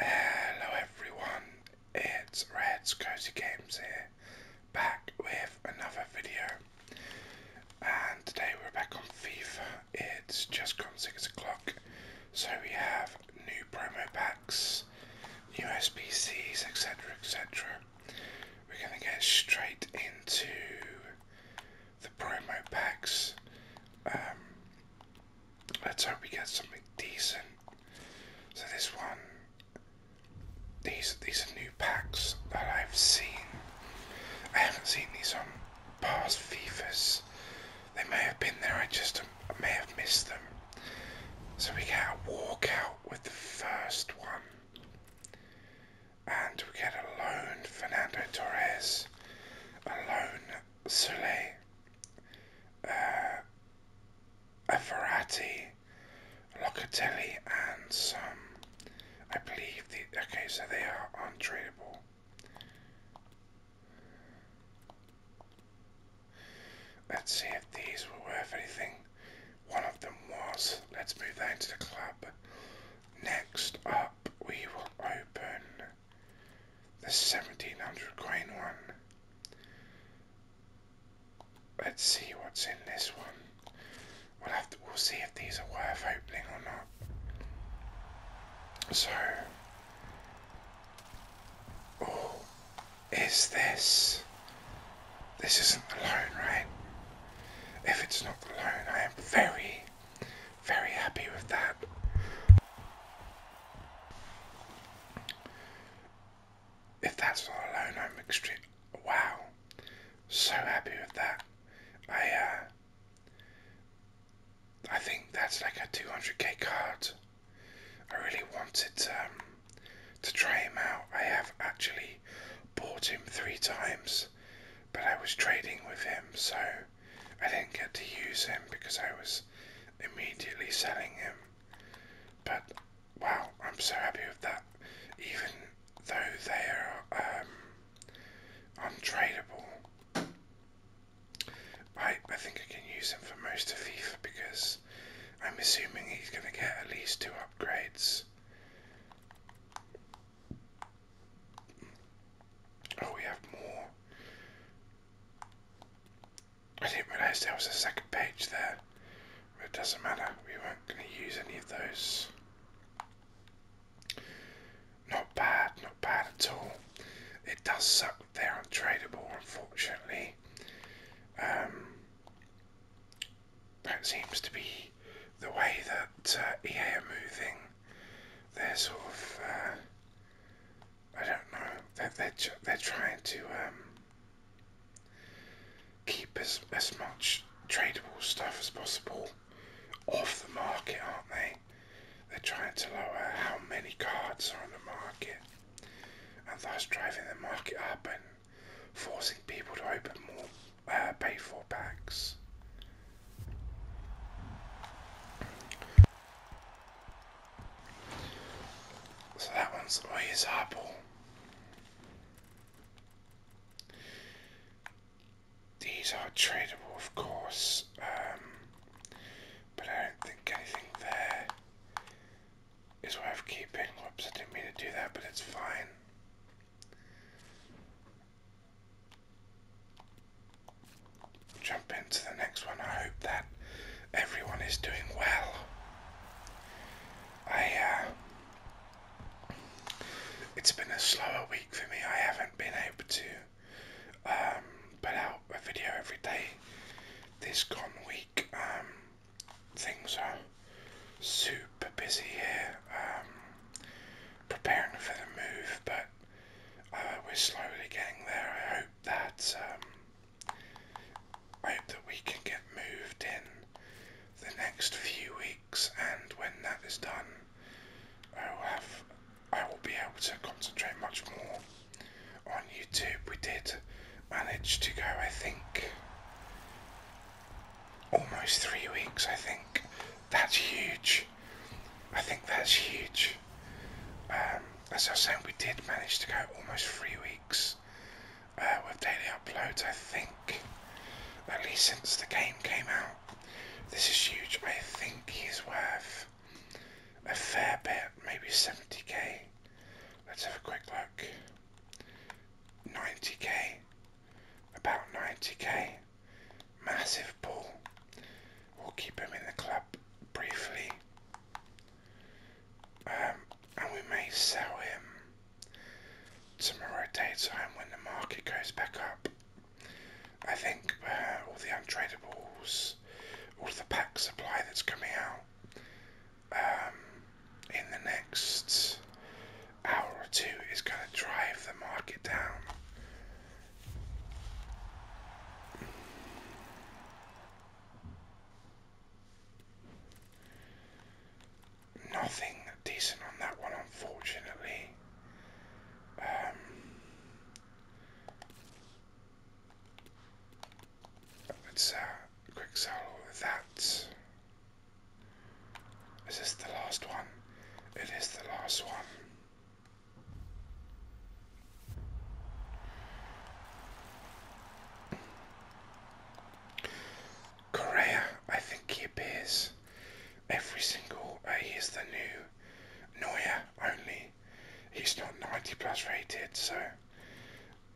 Hello everyone, it's Red's Cozy Games here, back with another video. And today we're back on FIFA, it's just gone 6 o'clock, so we have new promo packs, new SBCs, etc. etc. We're going to get straight into the promo packs. Um, Let's hope we get something decent. So this one, these these are new packs that I've seen. I haven't seen these on past FIFAs. They may have been there. I just um, may have missed them. So we get a walkout with the first one, and we get a loan Fernando Torres, a loan Soleil, uh, a Verratti, Locatelli, and some. I believe the okay, so they are untradeable. Let's see if these were worth anything. One of them was. Let's move on to the club. Next up, we will open here. The 1700 coin one. Let's see what's in this one. We'll have to, we'll see if these are worth opening or not. So, oh, is this? This isn't the loan, right? If it's not the loan, I am very, very happy with that. If that's not alone, I'm extreme. Wow, so happy with that. I uh, I think that's like a 200k card. I really wanted um, to try him out. I have actually bought him three times, but I was trading with him, so I didn't get to use him because I was immediately selling him. But wow, I'm so happy with that. Even though they are um, untradable, I, I think I can use him for most of FIFA because I'm assuming he's going to get at least two upgrades. Oh, we have more. I didn't realise there was a second page there, but it doesn't matter, we weren't going to use any of those. Not bad, not bad at all. It does suck they're untradable, unfortunately. Um, that seems to be the way that uh, EA are moving they're sort of uh, I don't know they they're, they're trying to um, keep as as much tradable stuff as possible off the market, aren't they? They're trying to lower how many cards are on the market, and thus driving the market up and forcing people to open more uh, pay for packs. So that one's always way is Apple. These are tradable, of course, um, but I don't think anything there is worth keeping. Whoops, I didn't mean to do that, but it's fine. Jump into the next one. I hope that everyone is doing well. I, uh, it's been a slower week for me. I haven't been able to um, put out a video every day. This gone week, um, things are super busy here, um, preparing for the move, but uh, we're slowly getting there. I hope that um, I hope that we can get moved in the next few weeks, and when that is done, I will have I will be able to concentrate much more on YouTube. We did manage to go, I think, almost three weeks. I think that's huge. I think that's huge. Um, as I was saying, we did manage to go almost three weeks uh, with daily uploads, I think, at least since the game came out. This is huge. I think he's worth a fair bit, maybe 70k. Let's have a quick look. 90k, about 90k massive pull. We'll keep him in the club briefly. Um, and we may sell him tomorrow daytime when the market goes back up. I think uh, all the untradables, all the pack supply that's coming out um, in the next hour or two is going to drive the market down. Nothing decent on that one, unfortunately. Um, let's uh, quick sell that. Is this the last one? It is the last one. Correa, I think he appears every single. Uh, he is the new Neuer only. He's not 90 plus rated, so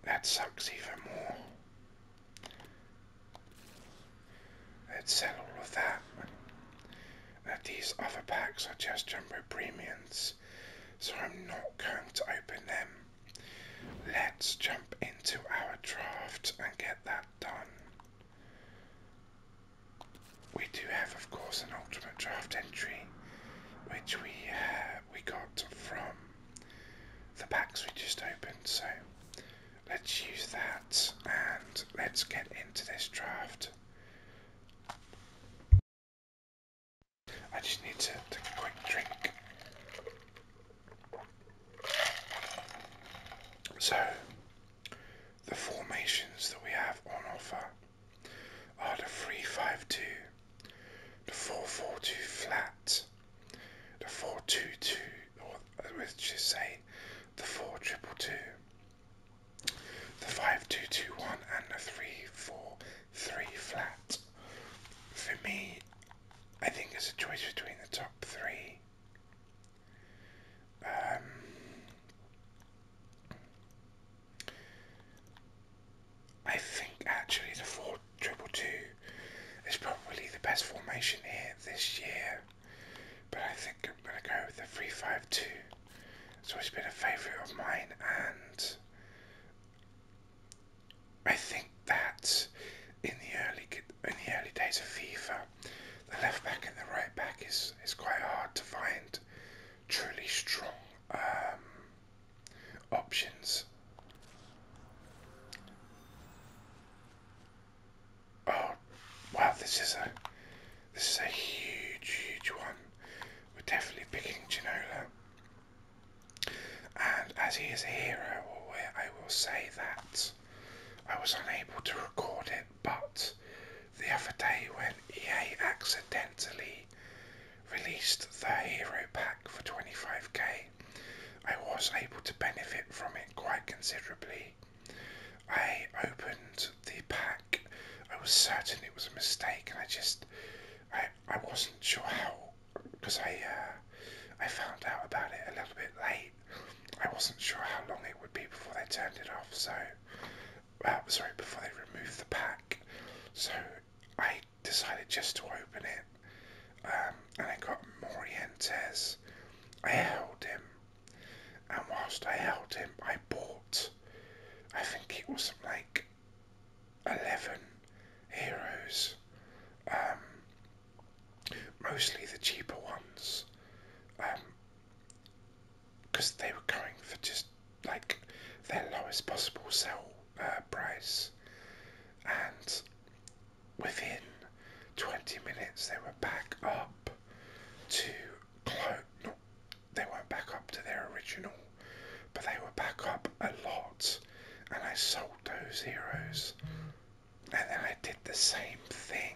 that sucks even more. They'd sell all of that. these other packs are just jumbo premiums, so I'm not going to open them. Let's jump into our draft and get that done. We do have, of course, an ultimate draft entry, which we uh, we got from the packs we just opened. So Let's use that and let's get into this draft. I just need to take a quick drink. So, the formations that we have on offer are the 352, the 442 flat, the 422, or uh, let's just say the 4222, the 5221, and the 343 flat. For me, I think it's a choice between the top three. Um, I think actually the four triple two is probably the best formation here this year but I think I'm going to go with the 352. It's always been a favourite of mine, and I think that in the early in the early days of FIFA, the left back and the right back is is quite hard to find truly strong um, options. Oh, wow! This is a this is a huge, huge one. We're definitely picking Ginola, and as he is a hero, I will say that I was unable to record it, but the other day when EA accidentally released the hero pack for 25k, I was able to benefit from it quite considerably. I opened the pack. I was certain it was a mistake, and I just, I, I wasn't sure how, because I, uh, I found out about it a little bit late. I wasn't sure how long it would be before they turned it off. So, uh, sorry, before they removed the pack. So I decided just to open it, um, and I got more Morientes I held him, and whilst I held him, I bought. I think it was like eleven heroes, um, mostly the cheaper ones, because um, they were going for just like their lowest possible sell uh, price, and within 20 minutes they were back up to close. Not they weren't back up to their original, but they were back up a lot, and I sold those heroes. And then I did the same thing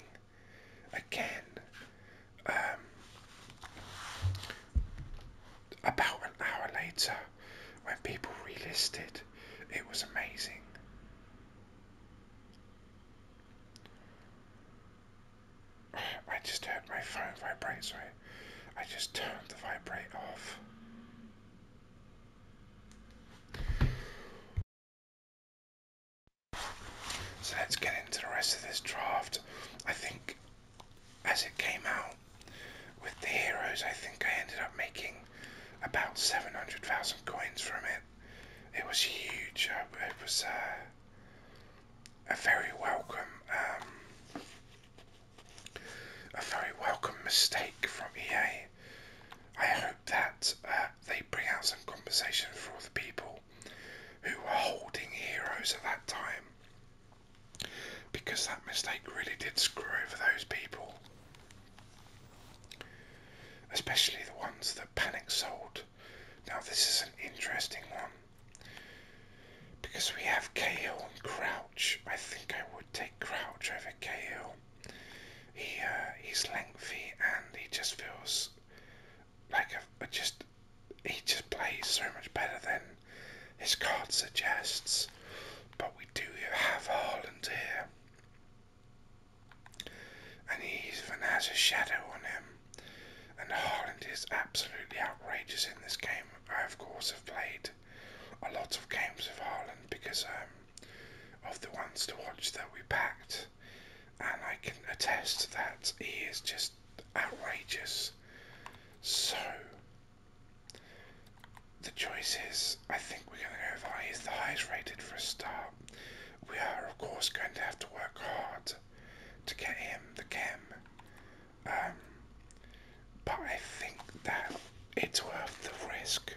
again. Um, about an hour later, when people relisted, it was amazing. I just had my phone vibrate, Sorry, I, I just turned the vibrate off. So let's get into the rest of this draft. I think as it came out with the heroes, I think I ended up making about 700,000 coins from it. It was huge. Uh, it was uh, a very welcome, um, a very welcome mistake from EA. I hope that uh, they bring out some compensation for all the people who were holding heroes at that time because that mistake really did screw over those people especially the ones that Panic sold. Now, this is an interesting one because we have Cahill and Crouch. I think I would take Crouch over Cahill. He uh, he's lengthy and he just feels like a just he just plays so much better than his card suggests. But we do have Harland here and he even has a shadow on him. And Haaland is absolutely outrageous in this game. I, of course, have played a lot of games of Haaland because um, of the ones to watch that we packed, and I can attest that he is just outrageous. So the choice is, I think we're going to go for he's the highest rated for a start. We are, of course, going to have to work hard to get him the chem. Um, but I think that it's worth the risk.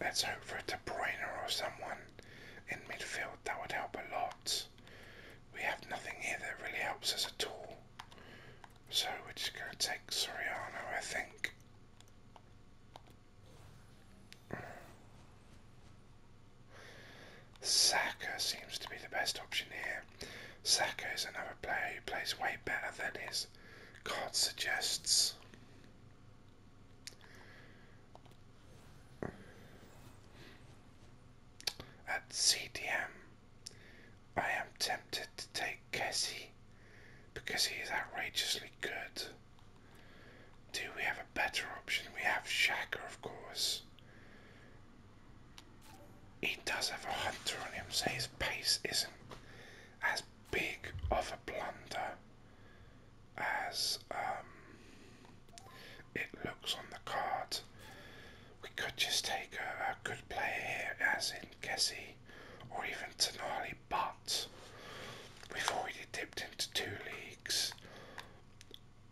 Let's hope for a De Bruyne or someone in midfield. That would help a lot. We have nothing here that really helps us at all. So we're just going to take Soriano, I think. Saka seems to be the best option here. Saka is another player who plays way better than his card suggests. At CDM, I am tempted to take Kessie because he is outrageously good. Do we have a better option? We have Shaka, of course. He does have a hunter on him, so his pace isn't as big of a blunder as um, it looks on the card. We could just take a, good player here, as in Kessie or even Tenali. but we've already dipped into two leagues.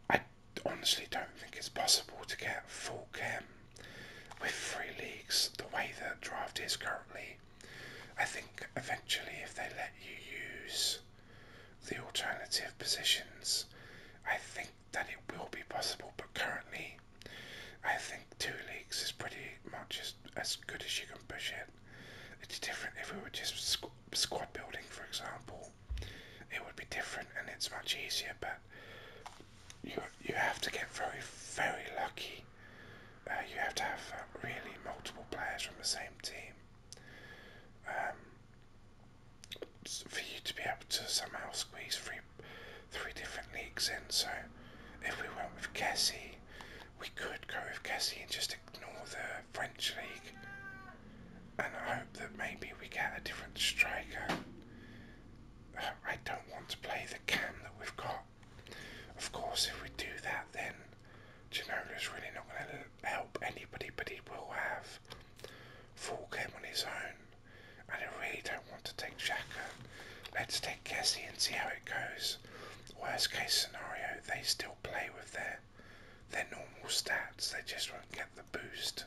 I honestly don't think it's possible to get full chem with three leagues the way the draft is currently. I think eventually, if they let you use the alternative positions, I think think that it will be possible, but currently, I think two leagues is pretty much as, as good as you can push it. It's different if we were just squad building, for example. It would be different and it's much easier, but you you have to get very very lucky. Uh, you have to have uh, really multiple players from the same team. Um, for you to be able to somehow squeeze three, three different leagues in. So if we went with Cassie, we could go with Cassie and just ignore the French league. And I hope that maybe we get a different striker. I don't want to play the cam that we've got. Of course, if we do that, then is really not going to help anybody, but he will have full cam on his own and I really don't want to take Shaka. Let's take Kessie and see how it goes. Worst case scenario, they still play with their their normal stats. They just won't get the boost.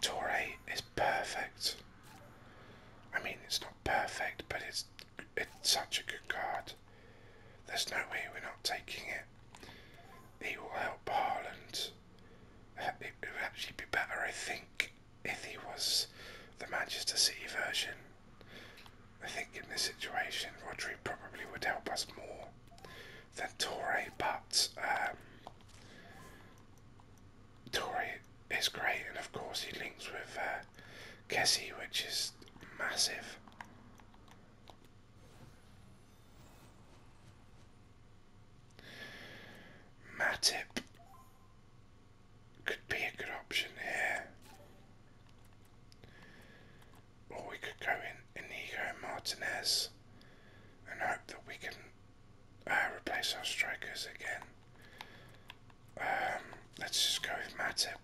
Torre is perfect. I mean, it's not perfect, but it's it's such a good card. There's no way we're not taking it. He will help Harland. It would actually be better, I think, if he was the Manchester City version. I think in this situation, Rodri probably would help us more than Torre, but um, is great, and of course he links with uh, Kessie, which is massive. Matip could be a good option here. Or we could go in Inigo Martinez and hope that we can uh, replace our strikers again. Um, let's just go with Matip.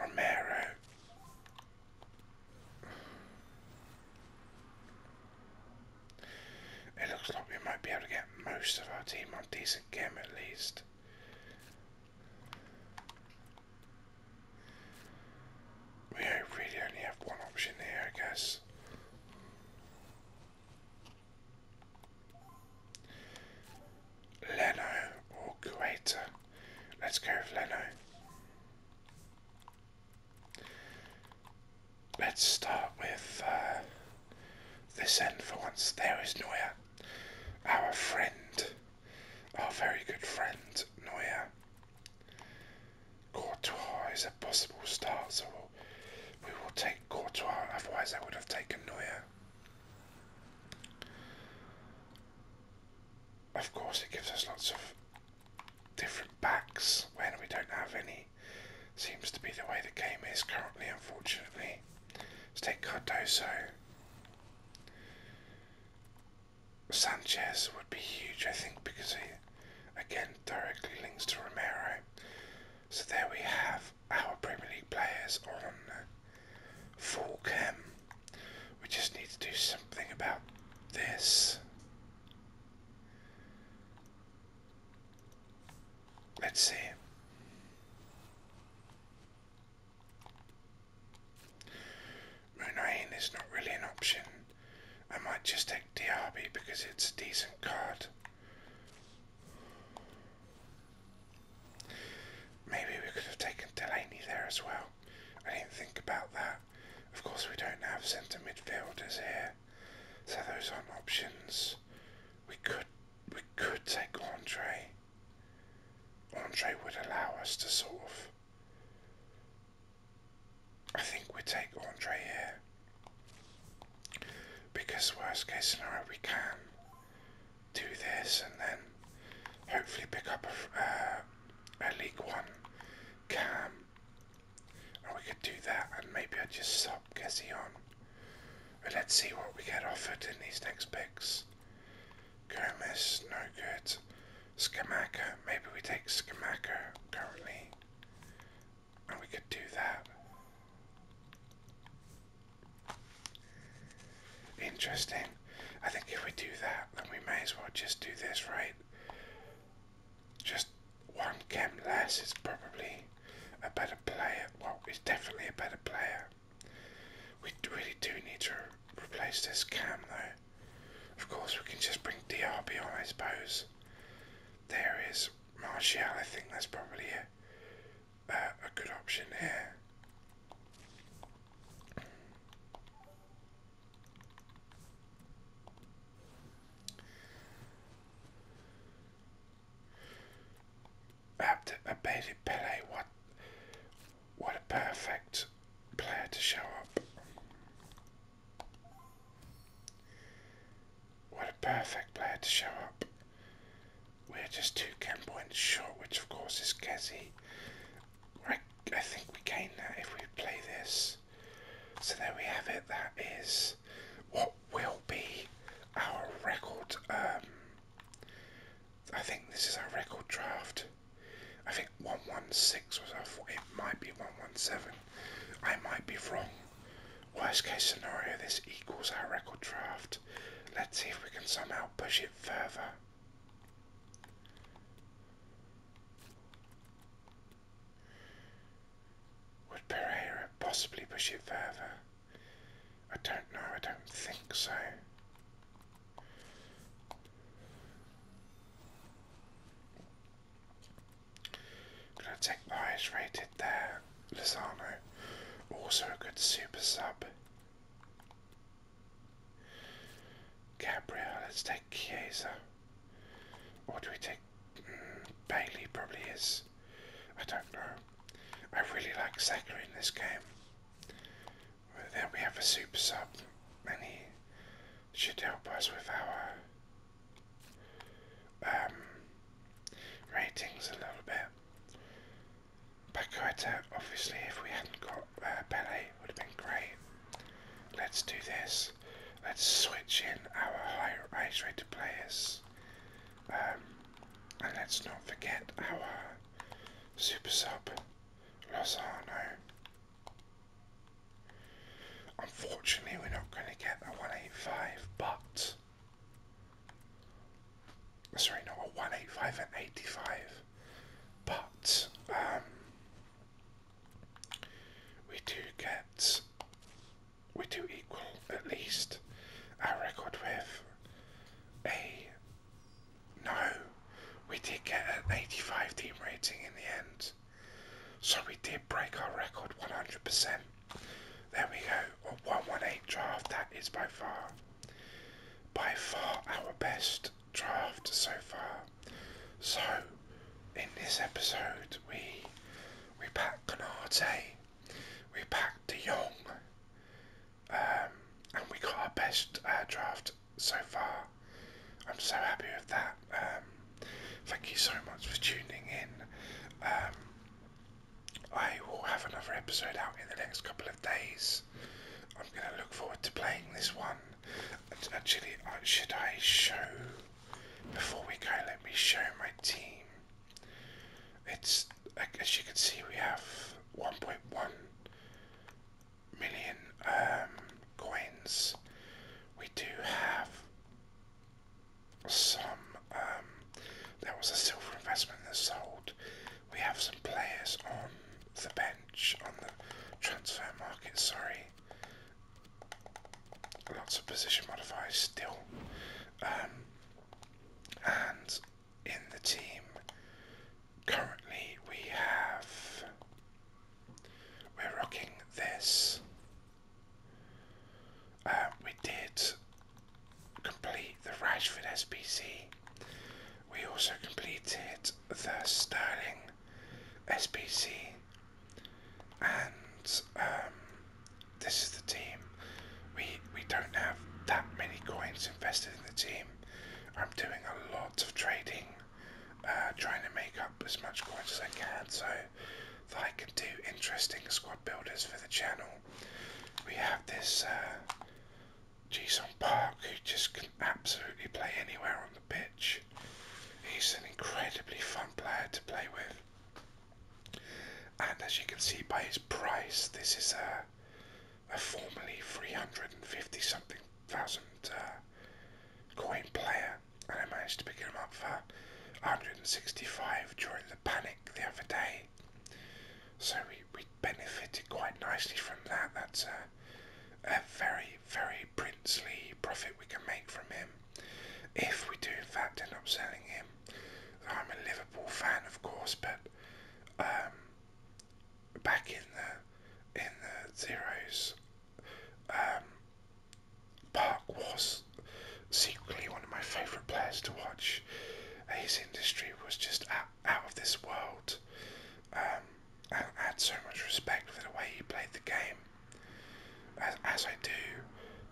Romero. It looks like we might be able to get most of our team on decent game at least. We really only have one option here, I guess. Leno or Guaita. Let's go with Leno. Let's start with uh, this end for once. There is Neuer, our friend, our very good friend Neuer. Courtois is a possible start, we will take Courtois, otherwise I would have taken Neuer. Of course, it gives us lots of different backs when we don't have any. Seems to be the way the game is currently, unfortunately. Let's take Cardoso. Sanchez would be huge, I think, because he, again, directly links to Romero. So there we have our Premier League players on full cam. We just need to do something about this. Let's see. Moonain is not really an option. I might just take Diaby because it's a decent card. Maybe we could have taken Delaney there as well. I didn't think about that. Of course, we don't have centre midfielders here, so those aren't options. We could we could take Andre. Andre would allow us to sort of. I think we take Andre here. Because worst case scenario, we can do this and then hopefully pick up a, uh, League One cam, and we could do that. And maybe I just sub Gezi on. But let's see what we get offered in these next picks. Gomez, no good. Skamaka, maybe we take Skamaka currently we could do that. Interesting. I think if we do that, then we may as well just do this, right? Just one cam less is probably a better player. Well, it's definitely a better player. We really do need to replace this cam, though. Of course, we can just bring DRB on, I suppose. There is Martial, I think that's probably a, good option here. Abd Abedi Pele, what, what a perfect player to show up. What a perfect player to show up. We're just two game points short, which of course is Kessie. I, I think we gain that if we play this. So there we have it. That is what will be our record. Um, I think this is our record draft. I think 116 was our. It might be 117. I might be wrong. Worst case scenario, this equals our record draft. Let's see if we can somehow push it further. Would Pereira possibly push it further? I don't know, I don't think so. Gonna take highest rated there. Lozano, also a good super sub. Gabriel, let's take Kieser. What do we take mm, Bailey? Probably is. I don't know. I really like Saka in this game. But then we have a super sub, and should help us with our um, ratings a little bit. Pacoeta, obviously, if we hadn't got uh, Pele, would have been great. Let's do this. Let's switch in our higher rated players. Um, and let's not forget our super sub, Lozano. Unfortunately, we're not going to get a 185, but. Sorry, not a 185, and 85. But, um, We do get. We do equal at least our record with a. No, we did get an 85 team rating in the end. So we did break our record 100%. There we go, a 118 draft. That is by far, by far our best draft so far. So, in this episode, we we packed Canate, we packed De Jong, um, and we got our best uh, draft so far. I'm so happy with that. Um, thank you so much for tuning in. Um, I will have another episode out in the next couple of days. I'm going to look forward to playing this one. Actually, should I show, before we go, let me show my team. It's, as you can see, we have 1.1 million um, coins. We do have some, um, there was a silver investment that sold. We have some players on the bench, on the transfer market, sorry. Lots of position modifiers still. Um, and in the team currently we have we're rocking this. Uh, we did complete the Rashford SBC. We also completed the Sterling SBC. And um, this is the team. We, we don't have that many coins invested in the team. I'm doing a lot of trading uh, trying to make up as much coins as I can so that I can do interesting squad builders for the channel. We have this uh, Jason Park who just can absolutely play anywhere on the pitch. He's an incredibly fun player to play with. And as you can see by his price, this is a, formerly 350 something thousand uh, coin player, and I managed to pick him up for 165 during the panic the other day. So we, we benefited quite nicely from that. That's a, a very, very princely profit we can make from him. If we do, in fact, end up selling him. I'm a Liverpool fan, of course, but um, back in the in the zeros, um, Park was secretly one of my favourite players to watch. Uh, his industry was just out, of this world. Um, I, had so much respect for the way he played the game, as, as I do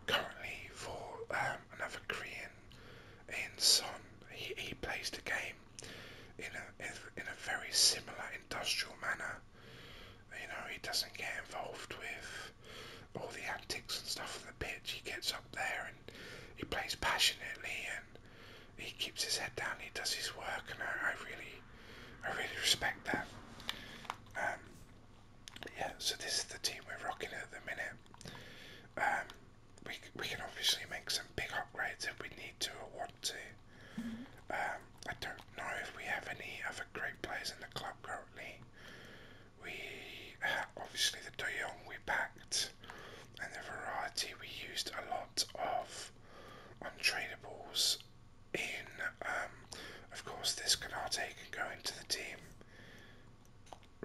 currently for um, another Korean in Son. He, he plays the game in a in a very similar industrial manner you know, he doesn't get involved with all the antics and stuff on the pitch. He gets up there and he plays passionately and he keeps his head down. He does his work, and I, really, I really respect that. Um, yeah, so this is the team we're rocking at the minute. Um, we we can obviously make some big upgrades if we need to or one to. Um, I don't know if we have any other great players in the club currently. We uh, obviously the De Jong we backed, and the variety we used a lot of untradables In um, of course this Canate can go into the team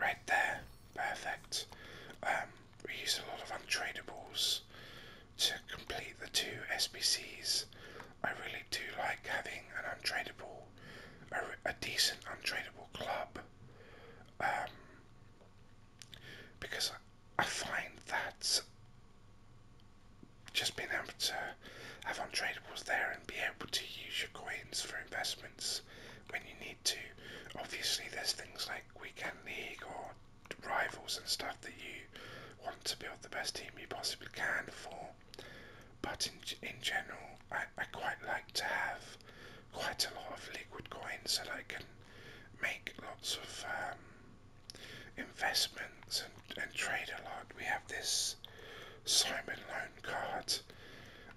right there, perfect. Um, we used a lot of untradables to complete the two SBCs. I really do like having an untradable, a, a decent untradable club, um, because I, find that just being able to have untradables there and be able to use your coins for investments when you need to. Obviously, there's things like weekend league or rivals and stuff that you want to build the best team you possibly can for. But in, in general, I, I quite like to have quite a lot of liquid coins that I can make lots of um, investments and, and trade a lot. We have this Simon Loan card.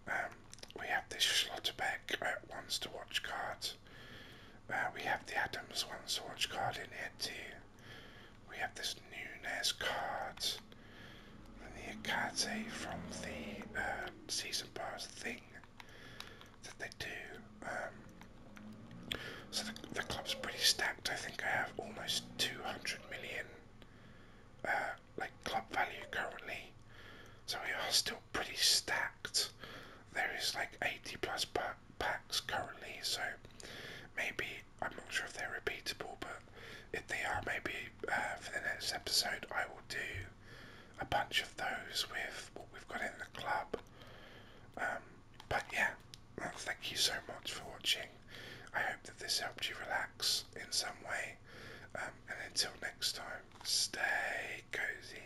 Um, we have this Schlotterbeck uh, Wants to Watch card we have the Adams One Swatch card in here too. We have this Nunes card. And the Akate from the um, Season Pass thing that they do. Um, so the, club's pretty stacked. I think I have almost 200 million uh, like club value currently. So we are still pretty stacked. There is like 80 plus plus bucks packs currently, so maybe I'm not sure if they're repeatable, but if they are, maybe uh, for the next episode I will do a bunch of those with what we've got in the club. Um, but yeah, thank you so much for watching. I hope that this helped you relax in some way. Um, and until next time, stay cozy.